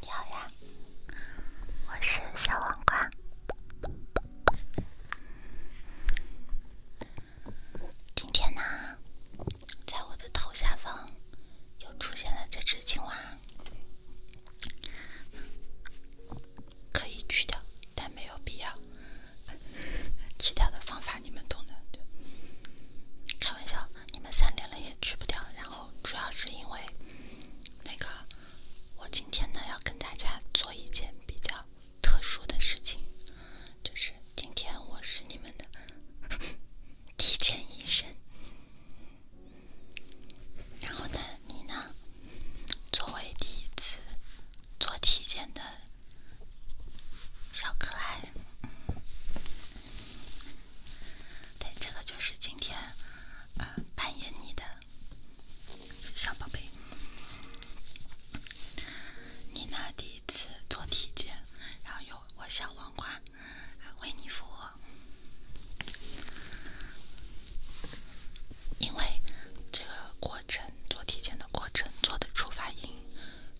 你好呀，我是小黄瓜。今天呢，在我的头下方又出现了这只青蛙，可以去掉，但没有必要。其 他的方法你们懂的，开玩笑。你们三点了也去不掉，然后主要是因为那个，我今天呢要跟大家做一件比较特殊的事情，就是今天我是你们的 体检医生，然后呢，你呢作为第一次做体检的小可爱。对，这个就是今天呃扮演你的小宝贝，妮娜第一次做体检，然后有我小皇冠为你服务，因为这个过程做体检的过程做的出发音。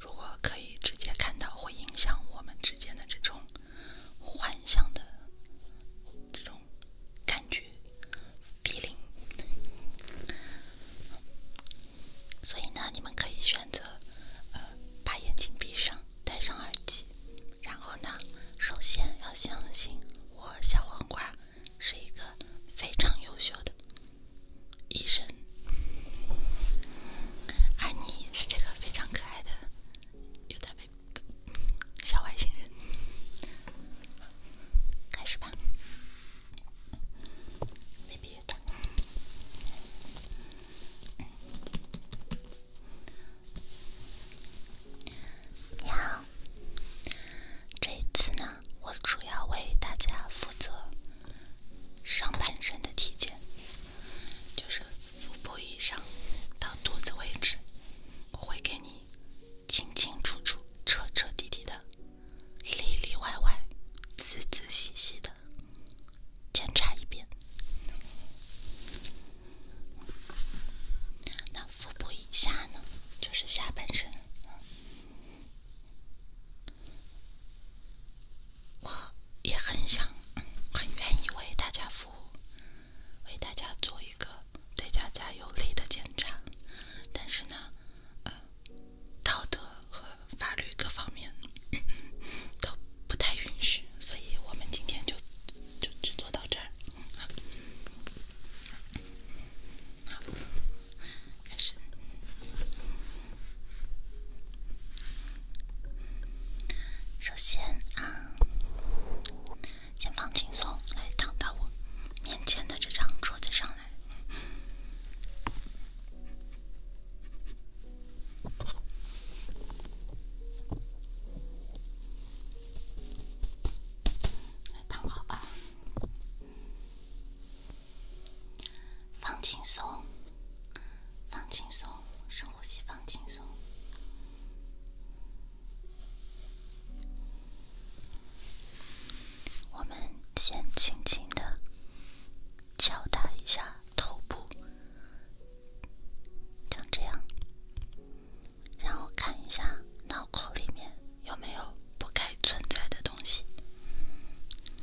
如果可以直接看到，会影响我们之间的这种幻想的这种感觉，feeling。所以呢，你们可以选择呃，把眼睛闭上，戴上耳机，然后呢，首先要相信我，小黄瓜是一个非常优秀的。医生，而你是这个非常可爱的尤大 b a b 小外星人，开始吧，baby 你好，这一次呢，我主要为大家负责上半身的体检。就是腹部以上到肚子位置，我会给你清清楚楚、彻彻底底的、里里外外、仔仔细细的检查一遍。那腹部以下呢？就是下半身。我也很想、很愿意为大家服务，为大家做一个对大家有利的检查，但是呢，呃，道德和法律各方面都不太允许，所以我们今天就就只做到这儿。好，开始。首先啊，先放轻松，来躺到我面前的这张桌子上来，来躺好啊。放轻松，放轻松，深呼吸，放轻松。我们先轻轻的敲打一下头部，像这样，然后看一下脑壳里面有没有不该存在的东西。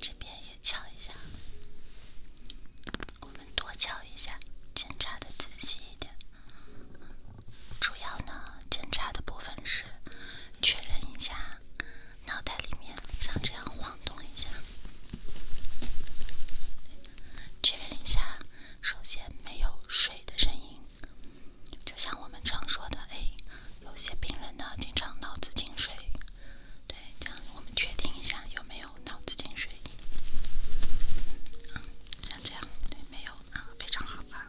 这边也敲一下，我们多敲一下，检查的仔细一点。主要呢，检查的部分是确认一下脑袋里面，像这样晃动一下。确认一下，首先没有水的声音，就像我们常说的，诶，有些病人呢，经常脑子进水。对，这样我们确定一下有没有脑子进水。啊，像这样，对，没有啊，非常好吧。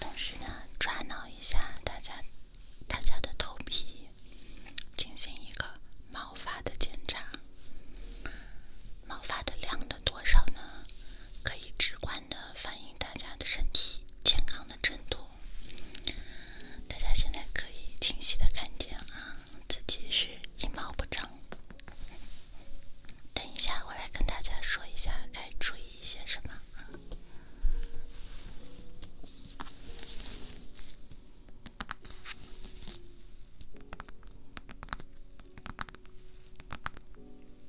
同时呢，抓挠一下大家，大家的头皮，进行一个毛发的检查，毛发的量的。多少呢？可以直观的反映大家的身体健康的程度。大家现在可以清晰的看见啊，自己是一毛不长。等一下，我来跟大家说一下该注意一些什么。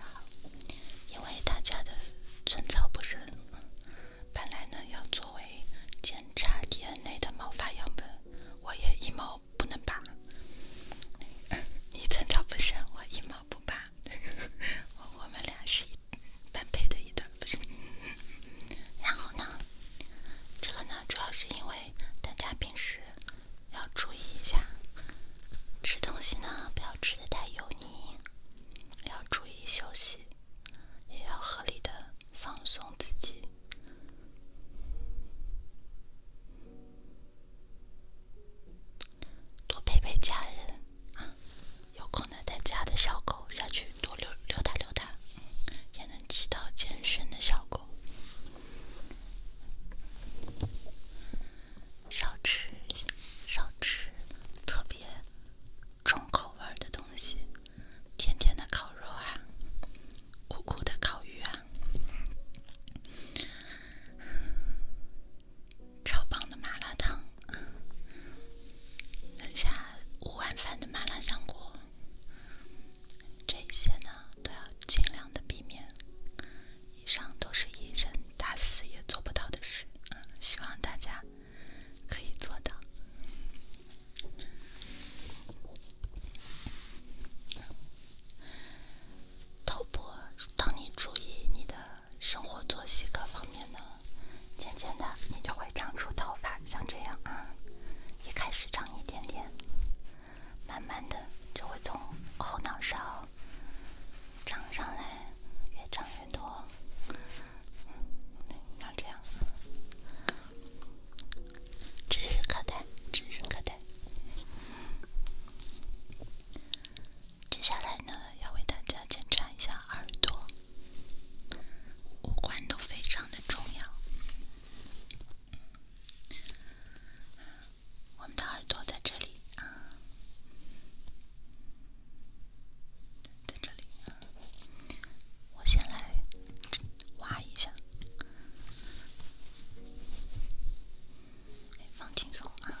好，因为大家的寸草不生，本来呢要作为检查 DNA 的毛发样本，我也一毛不能拔。你寸草不生，我一毛不拔，我们俩是一般配的一对。然后呢，这个呢主要是因为大家平时要注意一下，吃东西呢不要吃的太油腻。要注意休息，也要合理的放松自己，多陪陪家人有空呢，带家的小狗下去多溜溜达溜达，也能起到健身的效果。少吃，少吃特别重口味的东西，甜甜的烤肉啊，苦苦的烤鱼啊，超棒的麻辣烫，等下五碗饭的麻辣香锅，这些呢都要尽量的避免。以上都是一个人打死也做不到的事希望大家可以做到。头部当你注意你的生活作息各方面呢，渐渐的你就会长出头发，像这样啊，一开始长一点点，慢慢的就会从后脑勺。长上来，越长越多。要这样，指日可待，指日可待。接下来呢，要为大家检查一下耳朵，五官都非常的重要。我们的耳朵在这里啊，在这里啊，我先来挖一下，放轻松啊。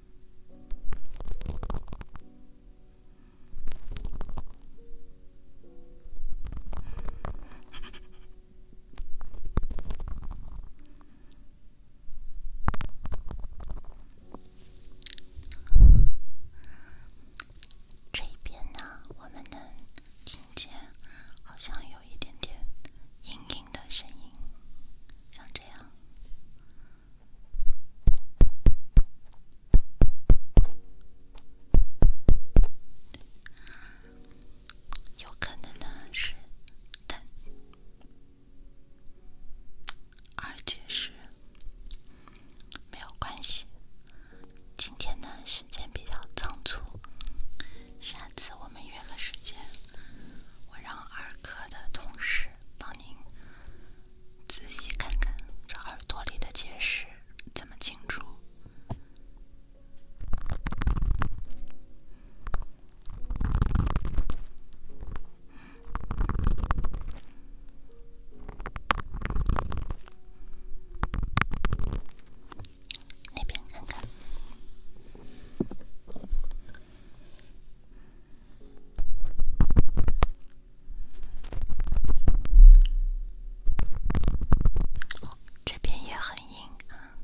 这边呢，我们能听见，好像有一点点阴影。的声音，像这样，有可能呢是的，而且是没有关系。今天呢时间比较仓促，下次我们约个时间。我让耳科的同事帮您仔细看看这耳朵里的结石怎么清除。那边看看。这边也很硬，啊，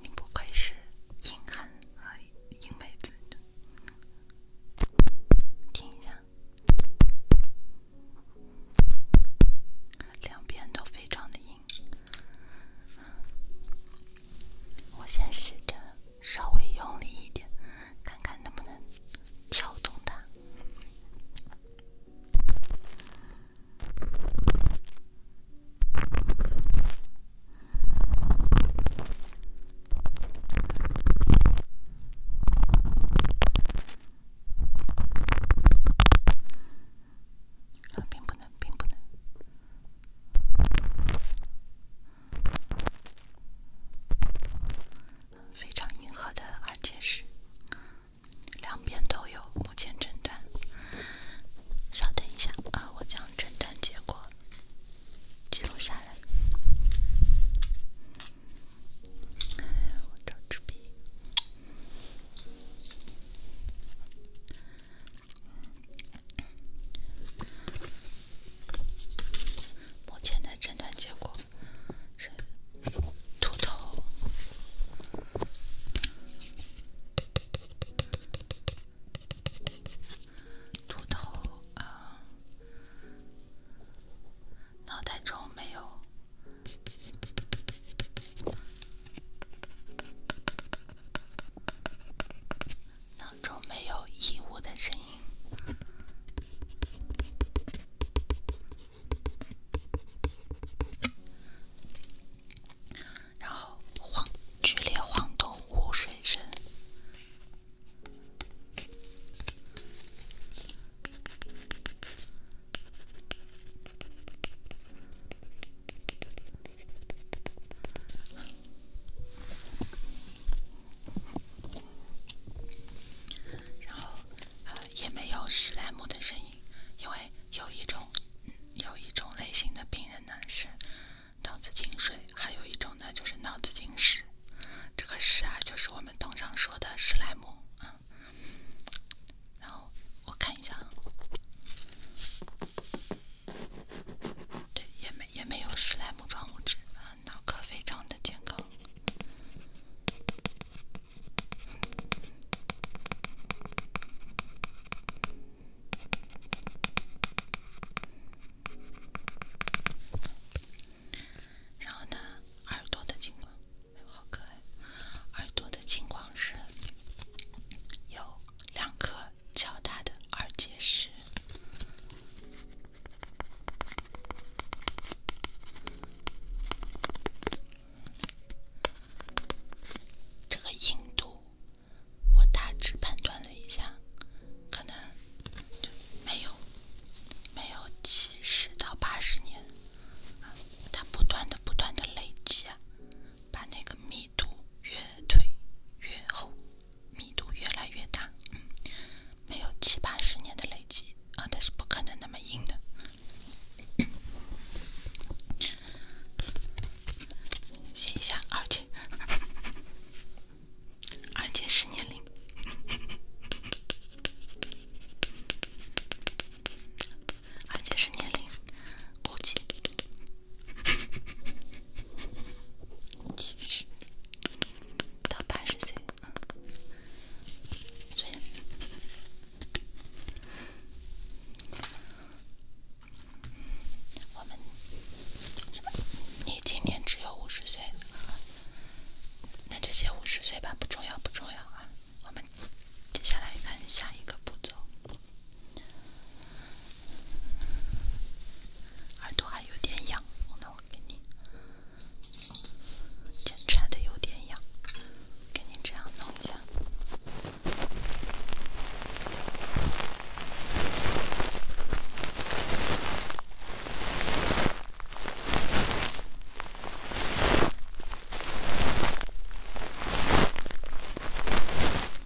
你不愧是硬汉和硬妹子，听一下，两边都非常的硬。我先试着稍微用力一点，看看能不能撬动它。啊，并不能，并不能。非常硬核的耳结石，两边都有。目前诊断，稍等一下，呃，我将诊断结果记录下来。我找支笔。目前的诊断结果是秃头，秃头啊，脑袋中没有。囊中没有异物的声音，然后晃剧烈晃动无水声。然后，呃，也没有史莱姆的声音，因为有一种，有一种类型的病人呢是脑子进水，还有一种呢就是脑子进屎。这个屎啊，就是我们通常说的史莱姆啊。然后我看一下。对，也没也没有史莱姆状物质，脑壳非常的健康。然后呢，耳朵的情况，好可爱，耳朵的情况是，有两颗。较大的二阶石，这个硬度我大致判断了一下，可能没有没有七十到八十年，它不断的不断的累积。啊。把那个密度越推越厚，密度越来越大，没有七八十年的累积啊，它是不可能那么硬的。写一下，而且，而且是年龄，而且是年龄。估计 到八十岁。我们，你今年只有五十岁，那就写五十岁吧，不重要，不重要啊。我们接下来看下一个步骤。耳朵还有点痒，那我给你检查的有点痒，给你这样弄一下。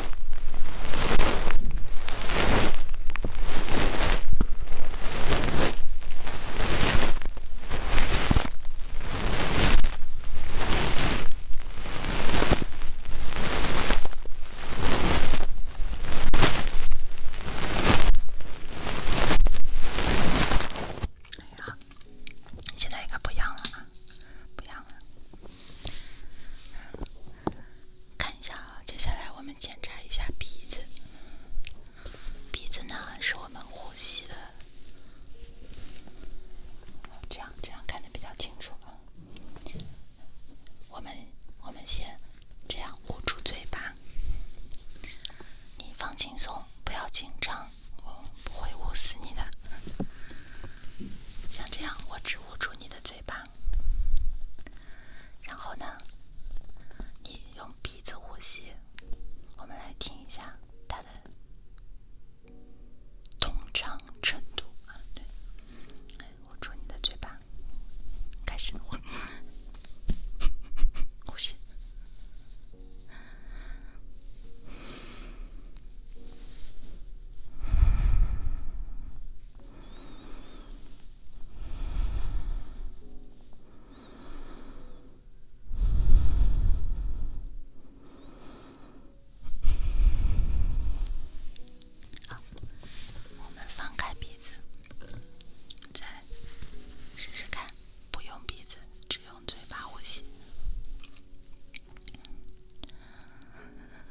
哎呀，现在应该不痒了嘛？不痒了。看一下啊，接下来我们检查一下鼻子。鼻子呢，是我们呼吸的。这样，这样看的比较清楚吧。我们，我们先这样捂住嘴巴。你放轻松，不要紧张，我不会捂死你的。像这样，我只捂住你的嘴巴。然后呢？你用鼻子呼吸，我们来听一下它的通畅程度啊。对，捂住你的嘴巴，开始呼 吸。好，我们放开鼻子，再试试看，不用鼻子，只用嘴巴呼吸。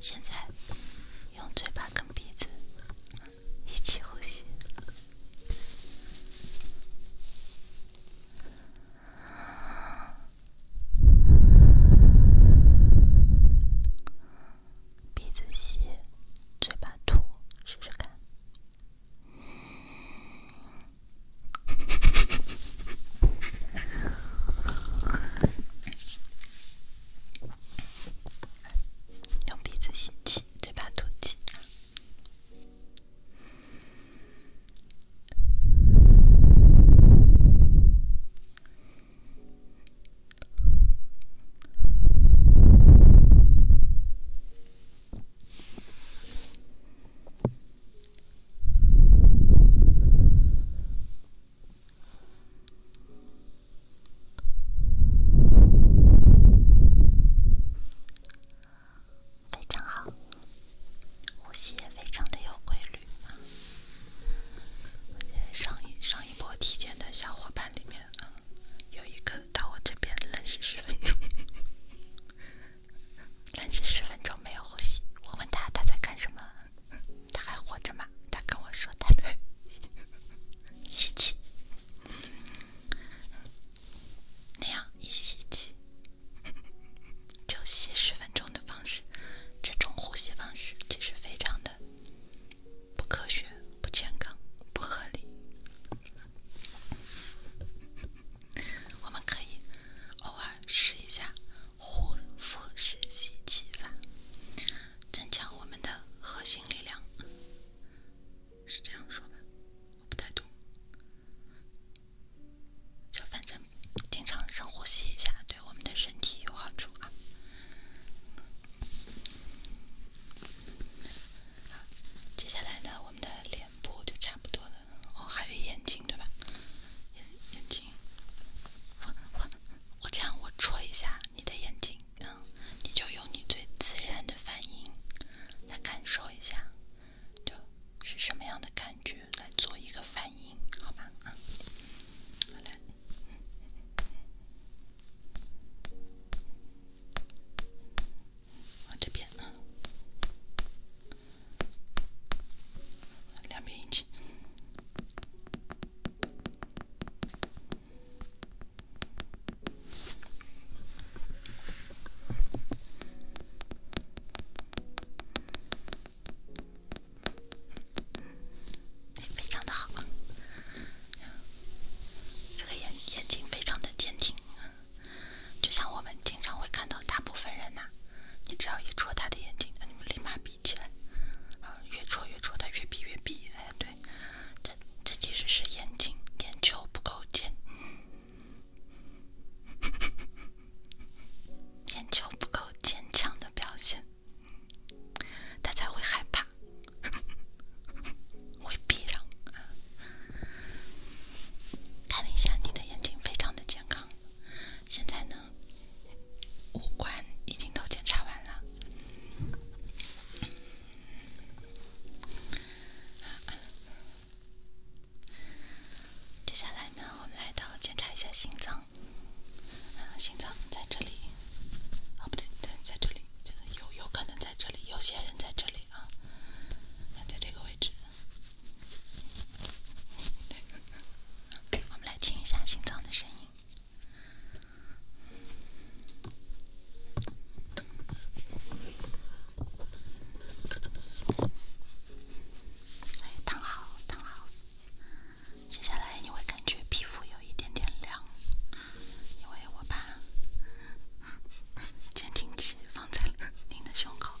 现在用嘴巴跟鼻子一起呼吸，鼻子吸，嘴巴吐，试试看。用鼻子吸气，嘴巴吐气。非常好，呼吸也非常的有规律。现在上一上一波体检的小伙伴里面有一个到我这边冷视十分钟，冷视十分钟没有呼吸。我问他他在干什么？他还活着吗？他跟我说，他吸 气，那样一吸气就吸十分钟的方式，这种呼吸方式其实非常的不科学、不健康、不合理。我们可以偶尔试一下。呼腹式吸气法，增强我们的核心力量，是这样说吧？我不太懂，就反正经常深呼吸一下，对我们的身体有好处啊。接下来呢，我们的脸部就差不多了，哦，还有眼睛，对吧？眼眼睛。我我我这样，我戳一下你的眼睛，嗯，你就用你最自然的反应来感受一下，就是什么样的感觉来做一个反应，好吧？嗯，好嘞，往这边啊。两边眼睛，非常的好，这个眼眼睛非常的坚挺，就像我们经常会看到大部分人呐。你只要一戳他的眼睛，他就立马闭起来。啊，越戳越戳，他越闭越闭。哎，对，这这其实是眼睛眼球不够坚，眼球不够坚强的表现，他才会害怕，会避让。看了一下，你的眼睛非常的健康。现在呢？五官已经都检查完了，接下来呢，我们来到检查一下心脏。心脏在这里，哦，不对，对，在这里，有有可能在这里，有些人在这里啊，在这个位置。我们来听一下心脏的声音。来躺好，躺好。接下来你会感觉皮肤有一点点凉，因为我把监听器放在了您的胸口。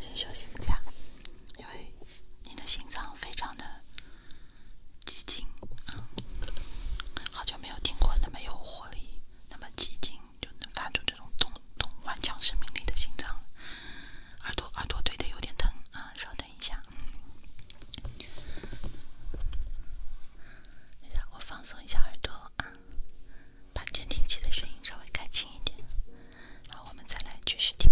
先休息一下，因为你的心脏非常的寂静，好久没有听过那么有活力、那么寂静，就能发出这种咚咚顽强生命力的心脏。耳朵耳朵对的有点疼啊，稍等。等一下，等一下，我放松一下耳朵啊，把监听器的声音稍微开轻一点，好，我们再来继续听。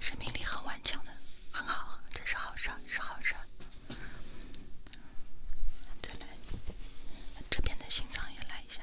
生命力很顽强的，很好，这是好事，是好事。再来，这边的心脏也来一下。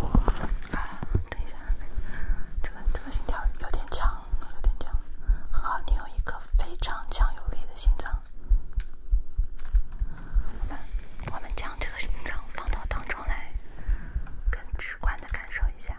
啊，等一下，这个这个心跳有点强，有点强。好，你有一个非常强有力的心脏。好我们将这个心脏放到当中来，更直观的感受一下。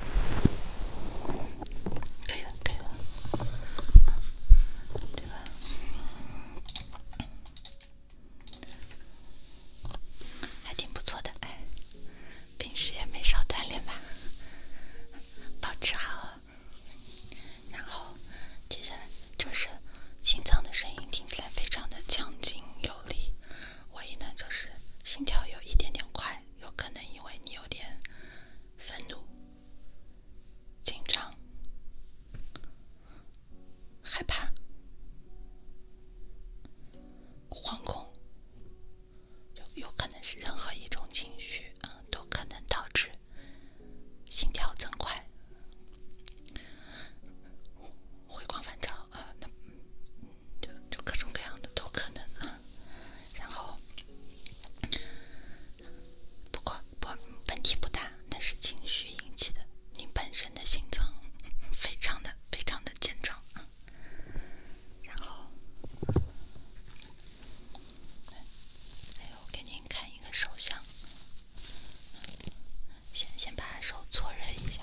可以了，可对吧？还挺不错的，哎，平时也没少锻炼吧，保持好。然后，接下来，这是心脏的声音，听起来非常的强劲有力。唯一呢，就是心跳有一点点快。有可能因为你有点愤怒、紧张、害怕、惶恐，有可能是任何一种情绪啊，都可能导致心跳增快、回光返照。啊，那就就各种各样的都可能啊。然后，不过不问题不大，那是情绪引起的。您本身的心脏非常的非常的健壮啊。然后，哎，我给您看一个手相，先先把手搓热一下。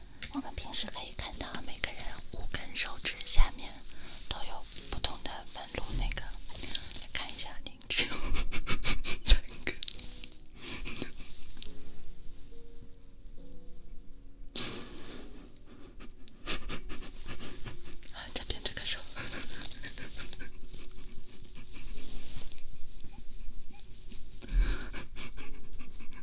我们平时可以看到每个人五根手指下面都有不同的纹路，那个来看一下您这三这边这个手。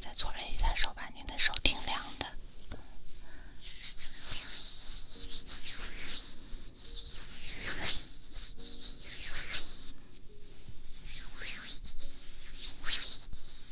再搓热一下手吧，您的手挺凉的。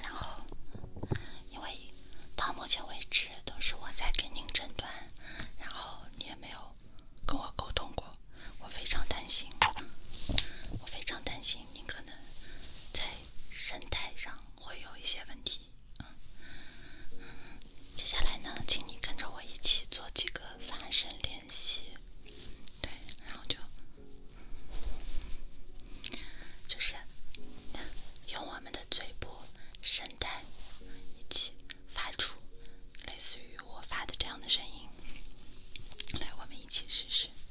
然后，因为到目前为止都是我在跟您诊断，然后你也没有跟我沟通过，我非常担心，我非常担心您可能在。声带上会有一些问题。接下来呢，请你跟着我一起做几个发声练习。对，然后就就是用我们的嘴部声带一起发出类似于我发的这样的声音。来，我们一起试试。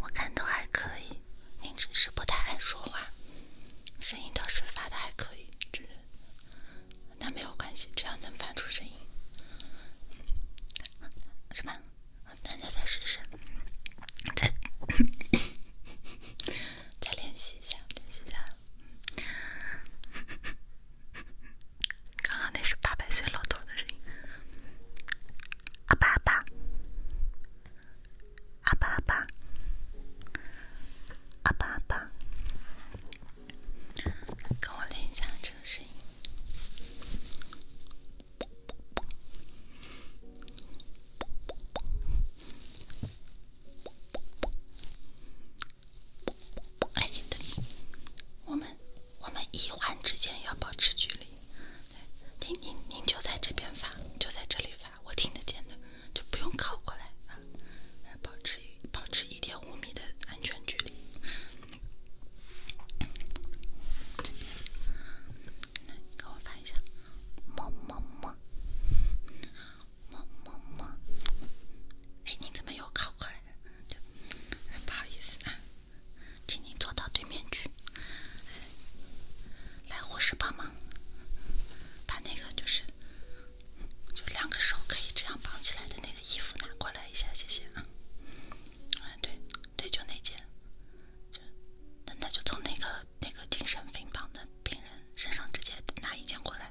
我看着还可以，您只是不太爱说话，声音倒是发的还可以，这那没有关系，只要能发出声音，是吧？那那再试试，再再练习一下，练习一下。刚刚那是八百岁老头的声音，阿爸阿爸，阿爸阿爸，阿爸阿爸，跟我练一下这个声音。哎，等，我们我们一环之间要保持距离。来，您您您就在这边发，就在这里发，我听得见的，就不用靠过来啊，保持保持一点五米的安全距离。这边，来给我发一下，么么么。么么么，哎，你怎么又跑过来了？就不好意思啊，请你坐到对面去。来，护士帮忙把那个就是就两个手可以这样绑起来的那个衣服拿过来一下，谢谢啊。哎，对，对，就那件，就那那就从那个那个精神病房的病人身上直接拿一件过来。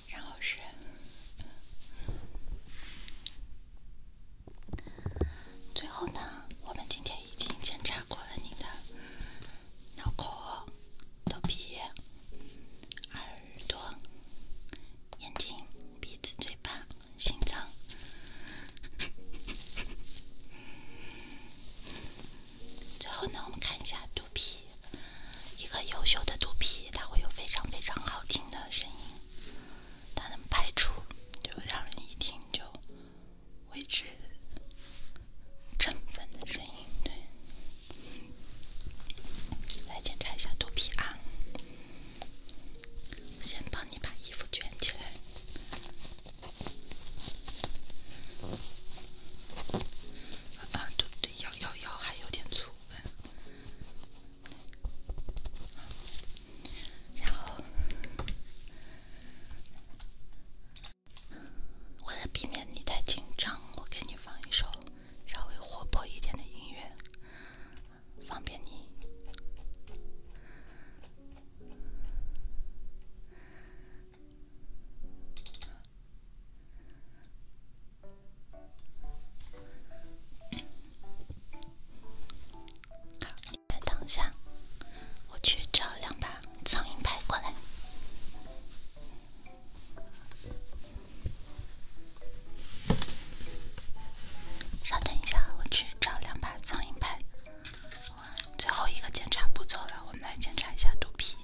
然后是，最后呢，我们今天已经检查过了你的脑壳、头皮、耳朵、眼睛、鼻子、嘴巴、心脏。最后呢，我们看一下肚皮。一个优秀的肚皮，它会有非常非常好听的声音。它能拍出就让人一听就为之振奋的声音，对。来检查一下肚皮啊，先帮你把衣服卷起来。啊，对对，腰腰腰还有点粗。然后，为了避免你太紧张，我给你放一首稍微活泼一点的音乐，方便你。好，你先等一下，我去找两把苍蝇拍过来。稍等一下，我去找两把苍蝇拍。哇，最后一个检查不做了，我们来检查一下肚皮。